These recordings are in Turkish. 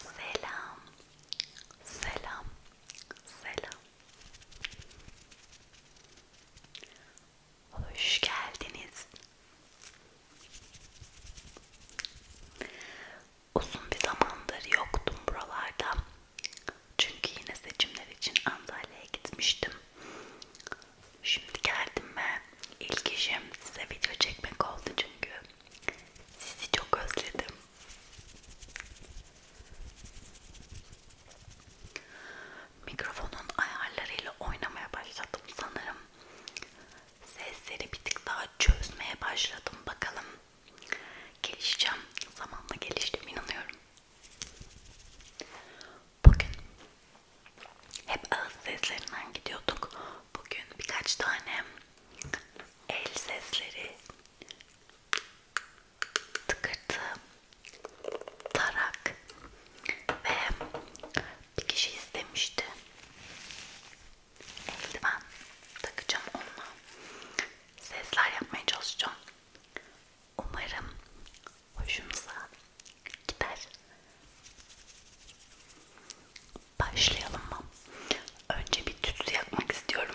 Selam, selam, selam. Hoş geldiniz. Uzun bir zamandır yoktum buralarda. Çünkü yine seçimler için Antalya'ya gitmiştim. Şimdi geldim ben. İlk işim size video çekmek oldu çünkü sizi çok özledim. Mikrofonun ayarlarıyla oynamaya başladım sanırım. Sesleri bir tık daha çözmeye başladım. Bakalım gelişeceğim. Zamanla geliştim inanıyorum bugün hep ağız seslerinden gidiyorduk. Bugün birkaç tane el sesleri, tıkırtı, tarak ve bir kişi istemişti. Eldiven takacağım onunla. Sesler yapmaya çalışacağım. Umarım hoşumuza gider. Başlayalım mı? Önce bir tütsü yakmak istiyorum.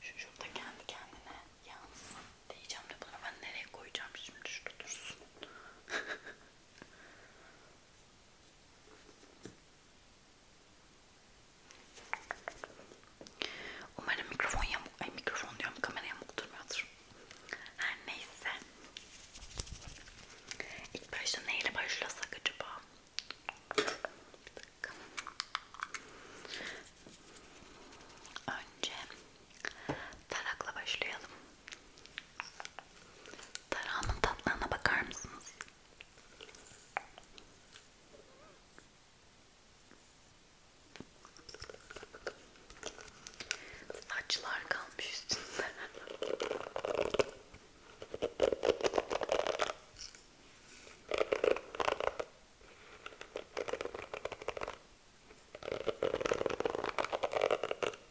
Şu şurada kendi kendine yansın diyeceğim de bunu ben nereye koyacağım şimdi şurada dursun. Umarım mikrofon yamuk, ay mikrofon diyorum kamera yamuk durmuyordur. Her neyse. İlk başta neyle başlasak acaba? Bir dakika. Önce tarakla başlayalım. Tarağımın tatlığına bakar mısınız? Saçlar kalmış üstünde.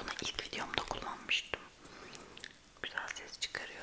Bunu ilk videomda kullanmıştım. Güzel ses çıkarıyordu.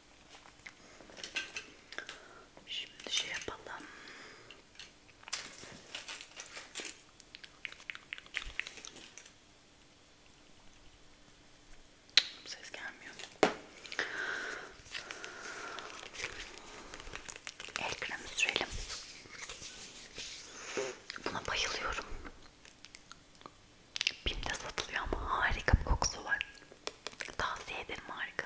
Şimdi şey yapalım. Ses gelmiyor. El kremi sürelim. Buna bayılıyorum. Bim'de satılıyor ama harika bir kokusu var. Tavsiye ederim harika.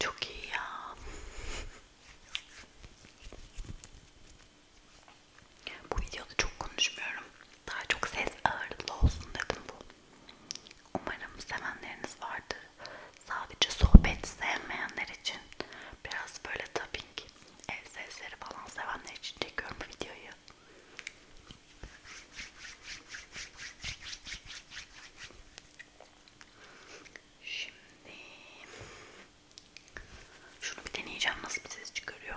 Çok iyi ya. Bu videoda çok konuşmuyorum. Daha çok ses ağırlıklı olsun dedim bu. Umarım sevenleriniz vardır. Sadece sohbet sevmeyenler için biraz böyle tapping ev sesleri falan sevenler için çekiyorum bu videoyu. Şimdi şunu bir deneyeceğim nasıl bir ses çıkarıyor.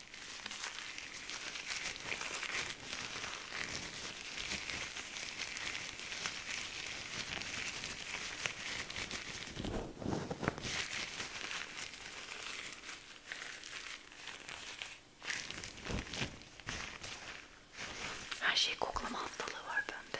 Her şey koklama hastalığı var bende.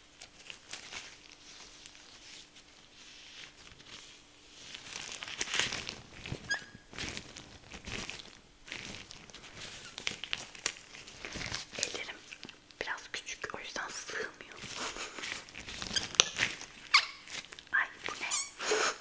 Ellerim biraz küçük o yüzden sığmıyor. Ay bu ne?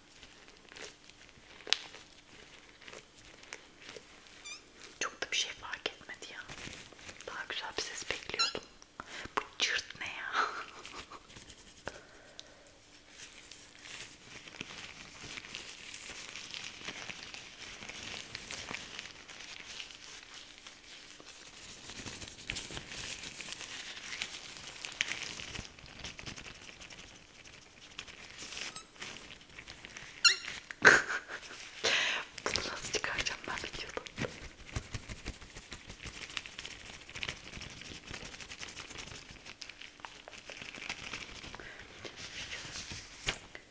Çok da bir şey fark etmedi ya. Daha güzel bir ses bekliyordum. Bu cırt ne ya? Bunu nasıl çıkaracağım ben videoda?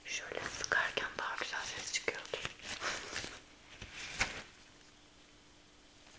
Şöyle sıkarken daha güzel ses çıkıyordu.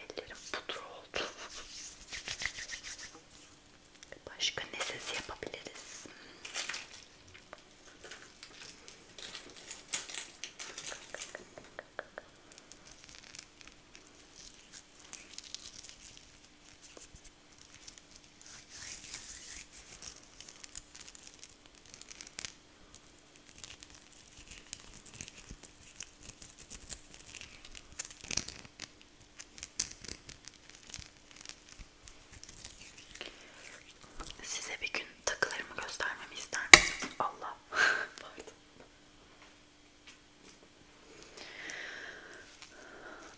Ellerim pudra oldu. Başka ne sesi yapabiliriz? Size bir gün takılarımı göstermemi ister misiniz? Allah. Pardon.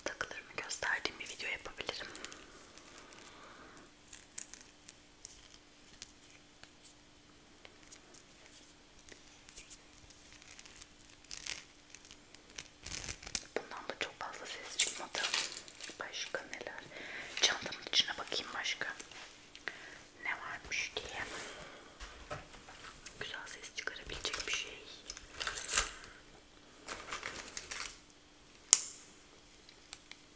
Takılarımı gösterdiğim bir video yapabilirim. Bundan da çok fazla ses çıkmadı. Başka neler? Çantamın içine bakayım başka. Ne varmış diye. Güzel ses çıkarabilecek bir şey.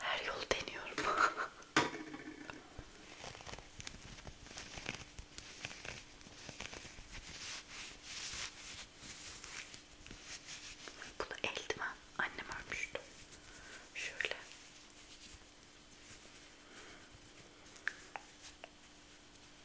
Her yolu deniyorum. Bu da eldiven. Annem örmüştü. Şöyle.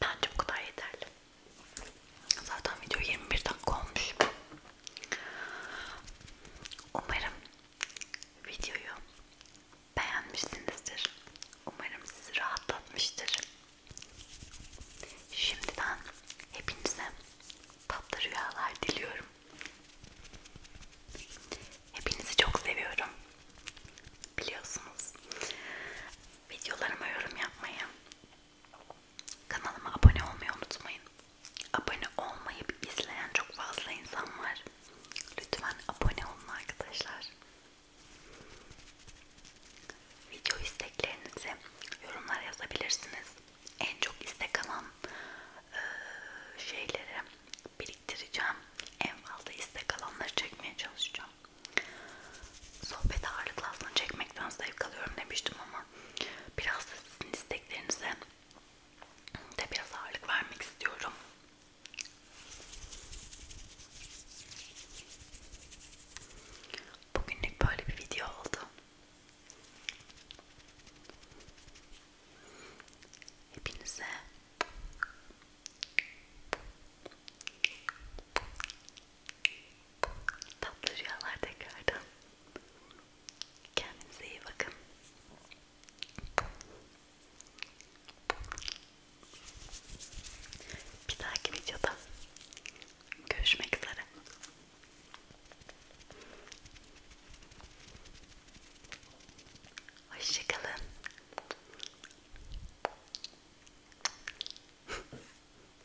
Bence bu kadar yeterli. Zaten video 21 dakika olmuş. Umarım videoyu beğenmişsinizdir. Umarım sizi rahatlatmıştır. Şimdiden hepinize tatlı rüyalar diliyorum. Hepinizi çok seviyorum. Biliyorsunuz videolarıma yorum yapmayı Kanalıma abone olmayı unutmayın. Abone olmayıp izleyen çok fazla insan var. Lütfen abone olun arkadaşlar. Video isteklerinizi yorumlara yazabilirsiniz. En çok istek alan e, şeyleri biriktireceğim. En fazla istek alanları çekmeye çalışacağım. Sohbet ağırlıklı aslında çekmekten zevk alıyorum demiştim ama ama biraz da sizin isteklerinize de biraz ağırlık vermek istiyorum. Bugünlük böyle bir video oldu. Hepinize tatlı rüyalar tekrardan. Kendinize iyi bakın. Bir dahaki videoda görüşmek üzere. Hoşçakalın.